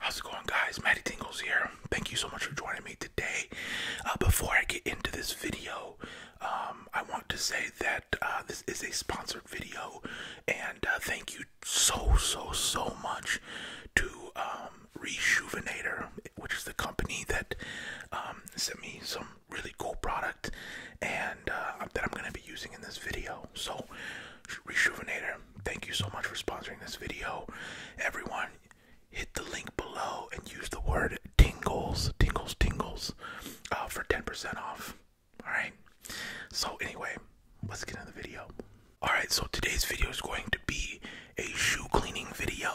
How's it going guys? Maddie Tingles here. Thank you so much for joining me today. Uh, before I get into this video, um, I want to say that uh, this is a sponsored video and uh, thank you so, so, so much to um, um, Rejuvenator, which is the company that um, sent me some really cool product and uh, that I'm going to be using in this video. So, Rejuvenator, thank you so much for sponsoring this video. Everyone, hit the link below and use the word tingles, tingles, tingles uh, for 10% off. Alright, so anyway, let's get into the video. Alright, so today's video is going to be a shoe cleaning video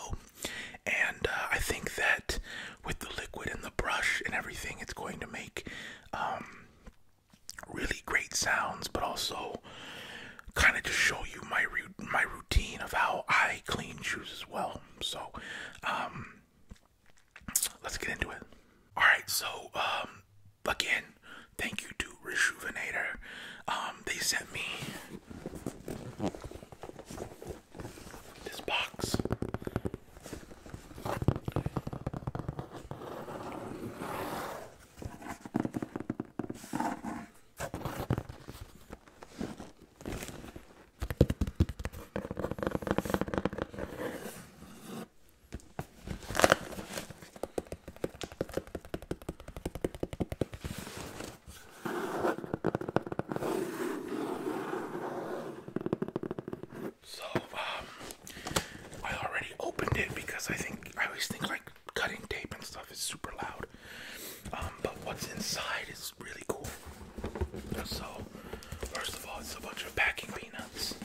and uh, I think that with the liquid and the brush and everything, it's going to make um, really great sounds, but also kind of just show you my my routine of how I clean shoes as well. So, um, let's get into it. All right, so um, again, thank you to Rejuvenator um, they sent me this box. So, um, I already opened it because I think I always think like cutting tape and stuff is super loud. Um, but what's inside is really cool. So, first of all, it's a bunch of packing peanuts.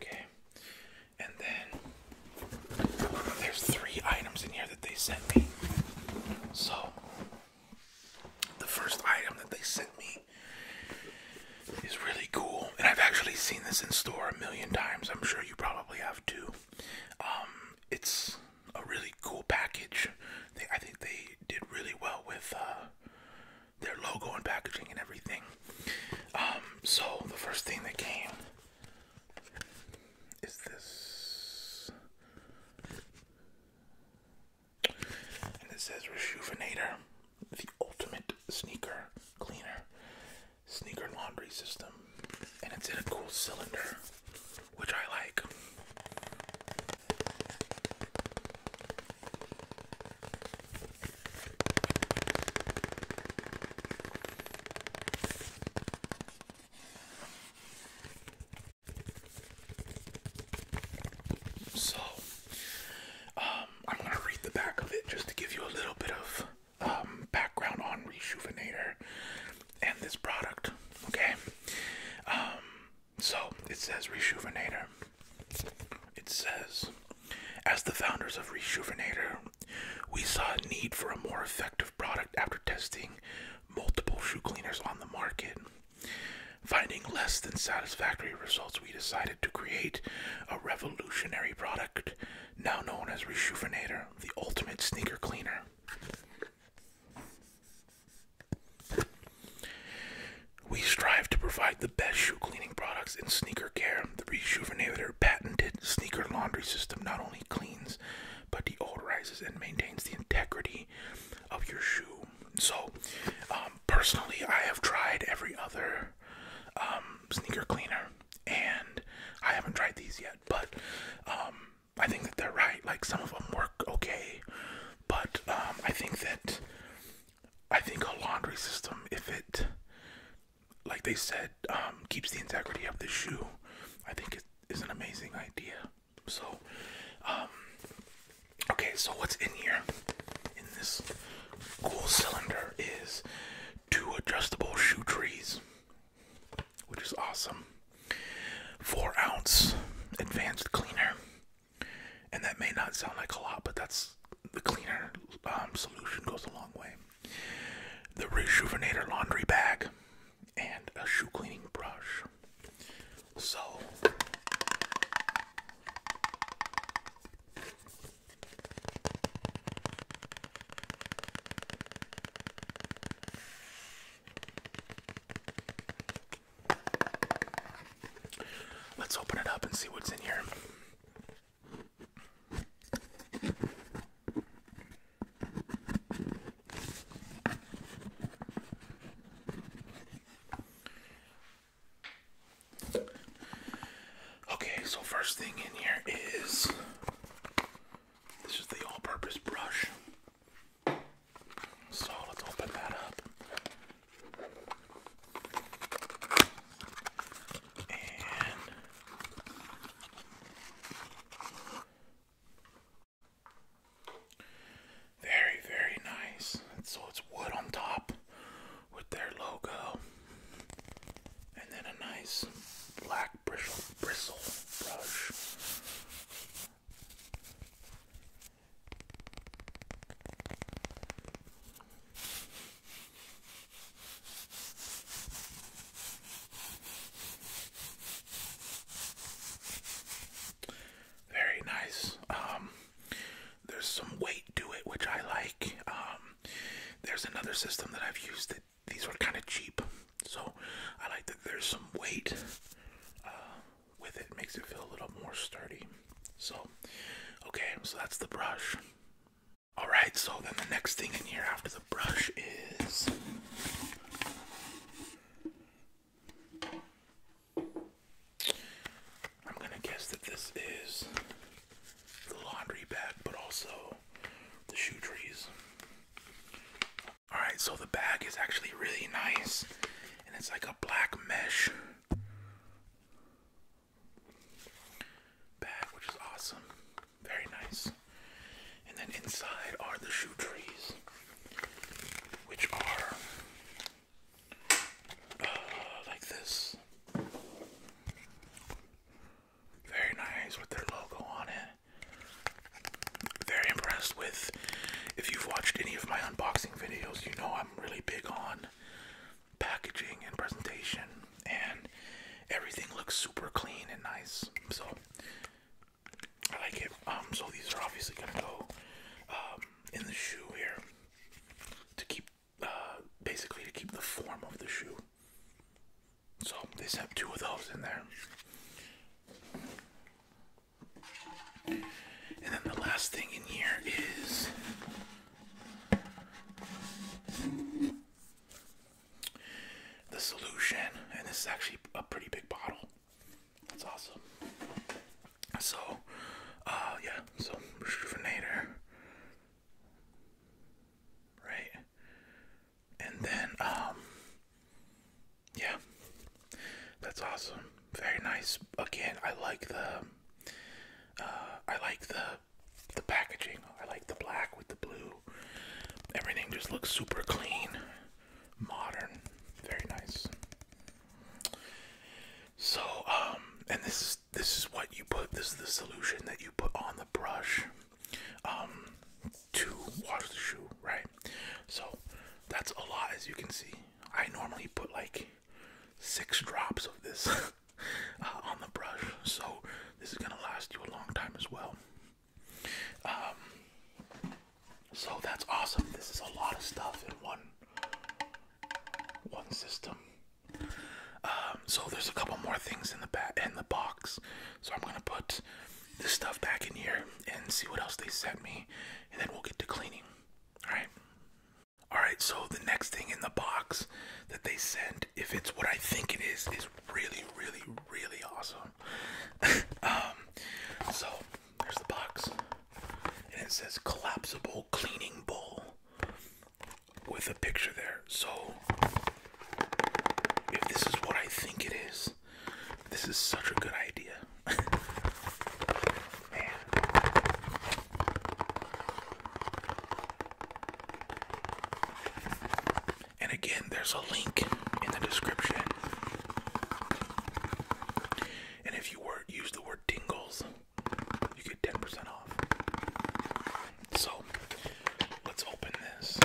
Okay, and then there's three items in here that they sent me. So, the first item that they sent me is really cool, and I've actually seen this in store a million times. I'm sure you probably probably have two. Um, it's a really cool package. I think they did really well with uh, their logo and packaging and everything. Um, so the first thing that came is this, and it says Rejuvenator, the ultimate sneaker cleaner sneaker laundry system, and it's in a cool cylinder, which I like. So, um, I'm going to read the back of it just to give you a little bit of um, background on Rejuvenator and this product. Okay, um, so it says Rejuvenator. It says, as the founders of Rejuvenator, we saw a need for a more effective product after testing multiple shoe cleaners on the market. Finding less than satisfactory results, we decided to create a revolutionary product now known as Rejuvenator, the ultimate sneaker cleaner. We strive to provide the best shoe cleaning products and sneaker care. The Rejuvenator patented sneaker laundry system not only cleans but deodorizes and maintains the integrity of your shoe. So, um, personally, I have tried every other um, sneaker cleaner and I haven't tried these yet, but um, I think that they're right. Like some of them work okay, but um, I think that I think a laundry system, if it, like they said, um, keeps the integrity of the shoe, I think it is an amazing idea. So, okay, so what's in here in this cool cylinder is two adjustable shoe trees, which is awesome. Four ounce advanced cleaner, and that may not sound like a lot, but that's the cleaner um, solution goes a long way. The rejuvenator laundry bag and a shoe cleaning brush. So Let's open it up and see what's in here. Okay, so first thing in here is this is the all-purpose brush. So let's open that up. very, very nice. so it's wood on top with their logo and then a nice black bristle brush. Very nice. Um, there's some weight to it, which I like. Um, there's another system that I've used that these were kind of cheap, so I like that there's some weight uh, with it. it. Makes it feel a little more sturdy. So, okay, so that's the brush. All right, so then the next thing in here after the brush is I'm gonna guess that this is the laundry bag, but also the shoe trees. Alright, so the bag is actually really nice, and it's like a black mesh bag, which is awesome. Very nice. And then inside are the shoe trees, which are uh, like this. Very nice with their logo on it. Very impressed with. If you've watched any of my unboxing videos, you know I'm really big on packaging and presentation, and everything looks super clean and nice. So I like it. Um, so these are obviously gonna go um, in the shoe here to keep, uh, basically to keep the form of the shoe. So they sent two of those in there. And then the last thing in here is the solution, and this is actually a pretty big bottle. That's awesome. So, uh, yeah, so refrigerator, right? and then um, yeah that's awesome very nice again i like the uh, i like the the packaging i like the black with the blue everything just looks super clean modern very nice so um, and this is this is what you put this is the solution that you put on the brush um, to wash the shoe, right? So that's a lot, as you can see. I normally put like six drops of this uh, on the brush, so this is gonna last you a long time as well. Um, so that's awesome. This is a lot of stuff in one one system. Um, um, so there's a couple more things in the back in the box. So I'm gonna put this stuff back in here and see what else they sent me, and then we'll get to cleaning. All right. All right. So the next thing in the box that they sent, if it's what I think it is, is really, really, really awesome. um, so there's the box, and it says collapsible cleaning bowl with a picture there. So, if this is what I think it is, this is such a good idea. Man. And again, there's a link in the description. And if you were use the word tingles, you get 10% off. So let's open this.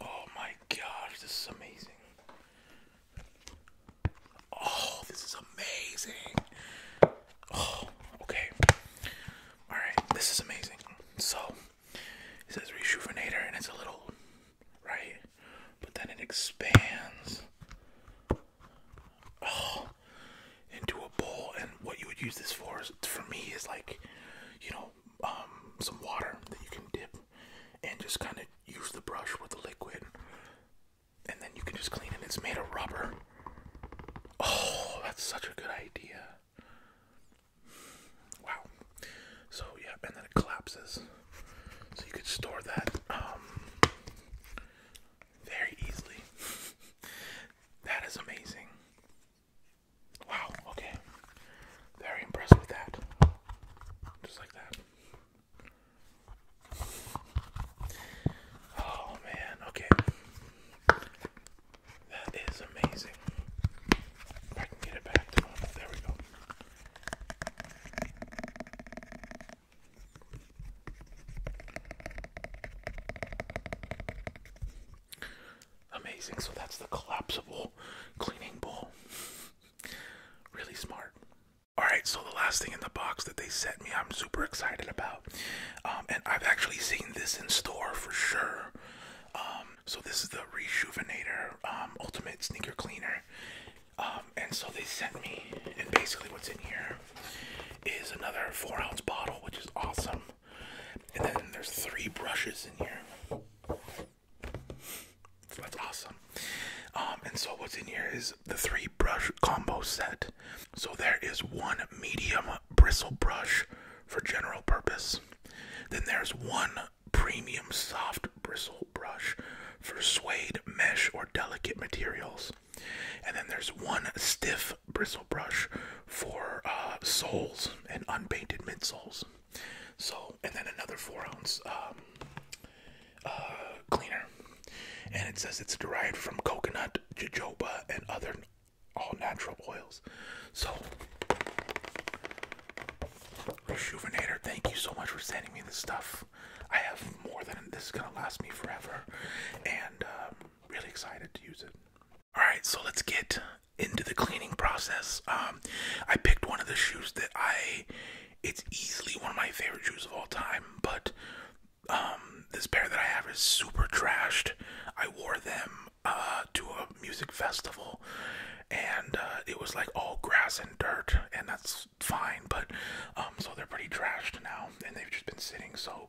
Oh my gosh, this is amazing. Oh, this is amazing. Oh, okay. Alright, this is amazing. So, it says rejuvenator and it's a little right? But then it expands oh, into a bowl. And what you would use this for, is, for me, is like, you know, um, some water that you can dip and just kind of use the brush with the liquid. And then you can just clean it. It's made of rubber. Oh, that's such a good idea. Wow. So yeah, and then it collapses. So you could store that um, very easily. that is amazing. Wow, okay. Very impressed with that. Just like that. Oh man, okay. That is amazing. I can get it back to There we go. Amazing. So that's the collapsible cleaning bowl. really smart. Alright, so the last thing in the box that they sent me, I'm super excited about. Um, and I've actually seen this in store for sure. Um, so this is the Rejuvenator um, Ultimate Sneaker Cleaner. Um, and so they sent me, and basically what's in here is another four ounce bottle, which is awesome. And then there's three brushes in here. that's awesome. Um, and so what's in here is the three brush combo set. So there is one medium bristle brush for general purpose. Then there's one premium soft bristle brush for suede, mesh, or delicate materials. And then there's one stiff bristle brush for uh, soles and unpainted midsoles. So, and then another four ounce um, uh, cleaner. And it says it's derived from coconut, jojoba, and other all natural oils. So, Rejuvenator, thank you so much for sending me this stuff. I have more than this is gonna last me forever, and um, really excited to use it. All right, so let's get into the cleaning process. Um, I picked one of the shoes that I. It's easily one of my favorite shoes of all time, but um, this pair that I have is super trashed. I wore them uh, to a music festival, and uh, it was like all grass and dirt, and that's fine. But um, so they're pretty trashed now, and they've just been sitting. So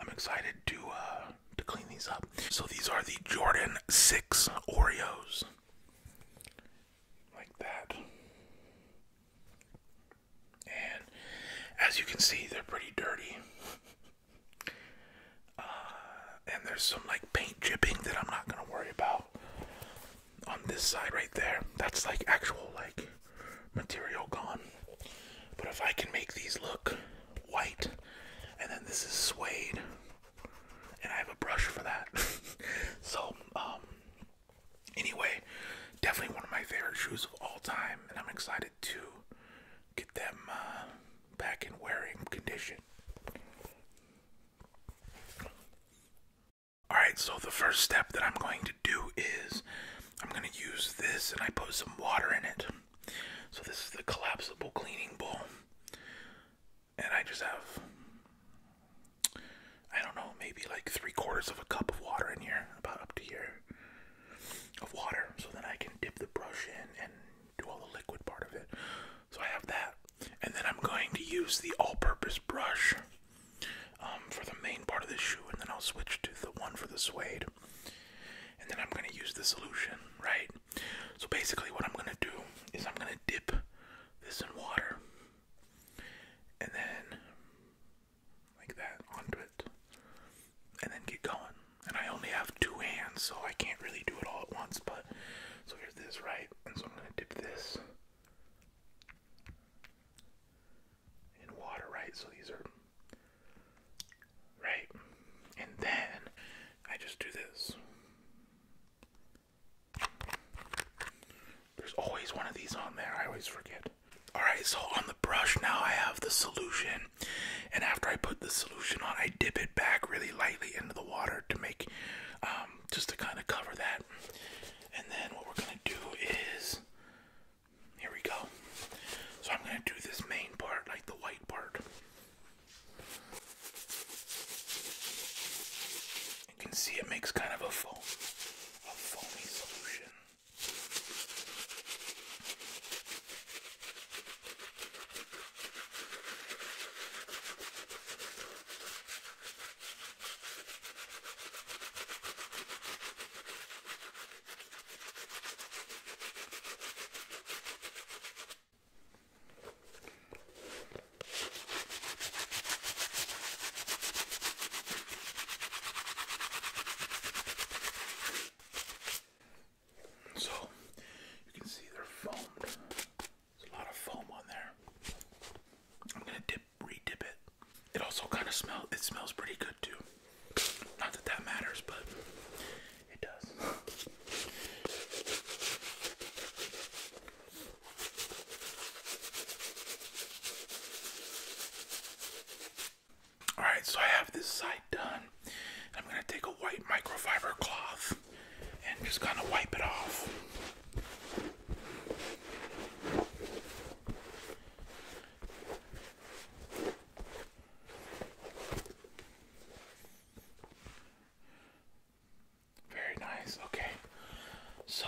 I'm excited to uh, to clean these up. So these are the Jordan Six Oreos, like that. And as you can see, they're pretty dirty. Uh, and there's some like paint chipping that I'm not gonna worry about on this side right there. That's like actual like material gone. But if I can make these look white and then this is suede and I have a brush for that. so um anyway, definitely one of my favorite shoes of all time and I'm excited to get them uh, back in wearing condition. Alright, so the first step that I'm going to do is I'm going to use this and I put some water in it. So, this is the collapsible cleaning bowl. And I just have, I don't know, maybe like three quarters of a cup of water in here, about up to here, of water. So then I can dip the brush in and do all the liquid part of it. So I have that. And then I'm going to use the all-purpose brush um, for the main part of the shoe, and then I'll switch to the one for the suede. And then I'm going to use the solution, right? So basically, what I'm going to do is I'm going to dip this in water, and then like that onto it, and then get going. And I only have two hands, so I can't really do it all at once, but so here's this, right? And so I'm going to dip this in water, right? So these are, right? And then I just do this. There's always one of these on there. I always forget. Alright, so on the brush now I have the solution. And after I put the solution on, I dip it back really lightly into the water to make um, just to kind of cover that. And then what we're gonna do is here we go. So I'm gonna do this main part, like the white part. You can see it makes kind of a foam, a foamy solution. So you can see they're foamed there's a lot of foam on there. I'm gonna dip, re-dip it. It also kind of smells. It smells pretty good too. Not that that matters, but it does. All right, so I have this side done. I'm gonna take a white microfiber cloth and just kind of wipe it off. Very nice. Okay. So,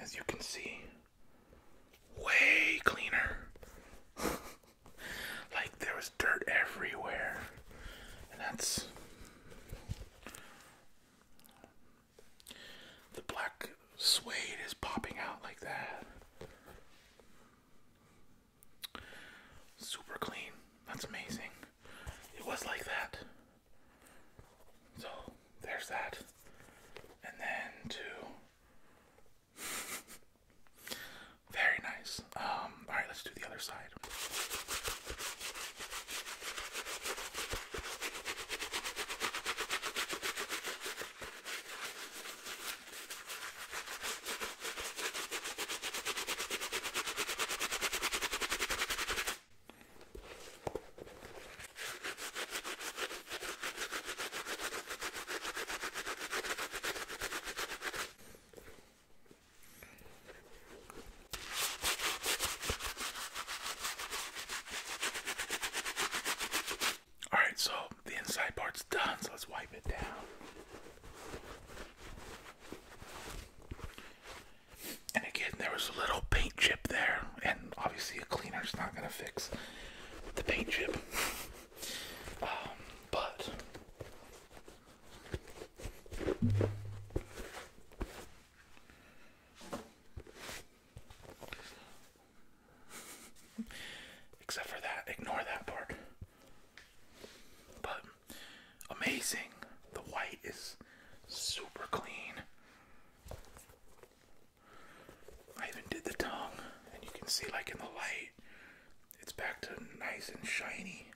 as you can see, way cleaner. Like there was dirt everywhere. And that's the black suede is popping out like that. Super clean. That's amazing. It was like that. So there's that. And then to Very nice. Um, all right, let's do the other side. All right, so the inside part's done, so let's wipe it down. And again, there was a little paint chip there, and obviously a cleaner is not gonna fix the paint chip. Um, but Except for that, ignore that part. But amazing. The white is super clean. I even did the tongue, and you can see, like in the light, it's back to nice and shiny.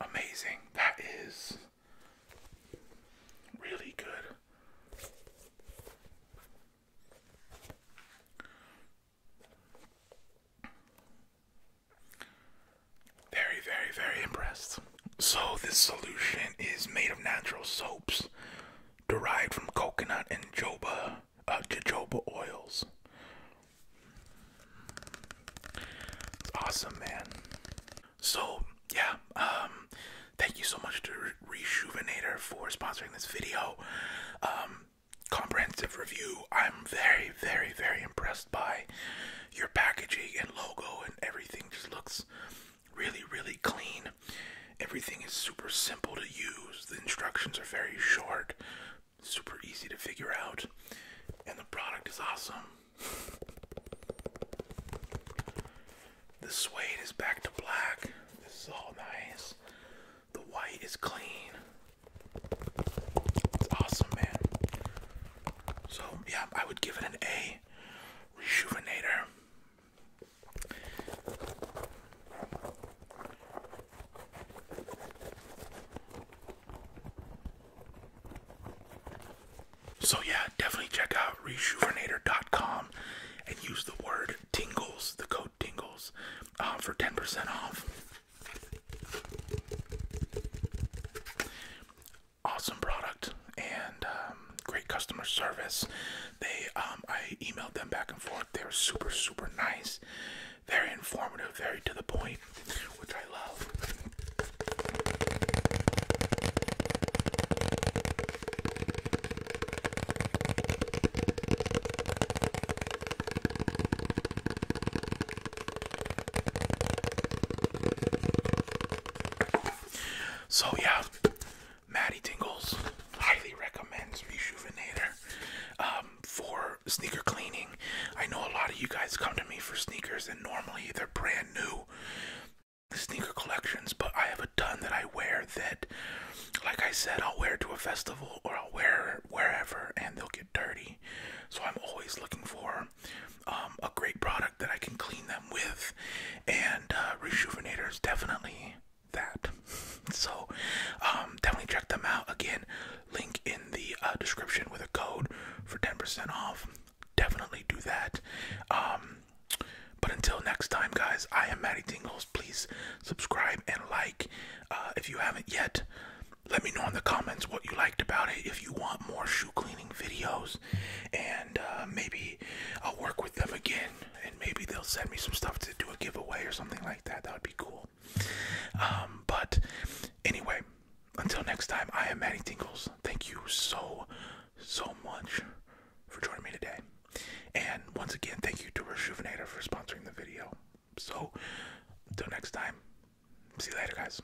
Amazing. That is really good. Very, very, very impressed. So, this solution is made of natural soaps derived from coconut and jojoba, uh, jojoba oils. It's awesome, man. So yeah, um, thank you so much to Re Rejuvenator for sponsoring this video. Um, comprehensive review. I'm very, very, very impressed by your packaging and logo and everything. Just looks really, really clean. Everything is super simple to use. The instructions are very short, super easy to figure out, and the product is awesome. The suede is back to black. This is all nice. The white is clean. It's awesome, man. So, yeah, I would give it an A. Rejuvenator. So yeah, definitely check out rejuvenator.com and use the word tingles, the code tingles, uh, for 10% off. Awesome product, and um, great customer service. They, um, I emailed them back and forth. They were super, super nice, very informative, very to the point, which I love. So yeah, Maddie Tingles highly recommends Rejuvenator um, for sneaker cleaning. I know a lot of you guys come to me for sneakers, and normally they're brand new sneaker collections, but I have a ton that I wear that, like I said, I'll wear to a festival or I'll wear wherever and they'll get dirty. So I'm always looking for um, a great product that I can clean them with, and uh, Rejuvenator is definitely that. so um, definitely check them out. Again, link in the uh, description with a code for 10% off. Definitely do that. Um, but until next time, guys, I am Maddie Tingles. Please subscribe and like uh, if you haven't yet. Let me know in the comments what you liked about it. If you want more shoe cleaning videos, and uh, maybe I'll work with them again and maybe they'll send me some stuff to do a giveaway or something like that. That would be cool. Um, but anyway, until next time, I am Matty Tingles. Thank you so, so much for joining me today. And once again, thank you to Rejuvenator for sponsoring the video. So, until next time, see you later, guys.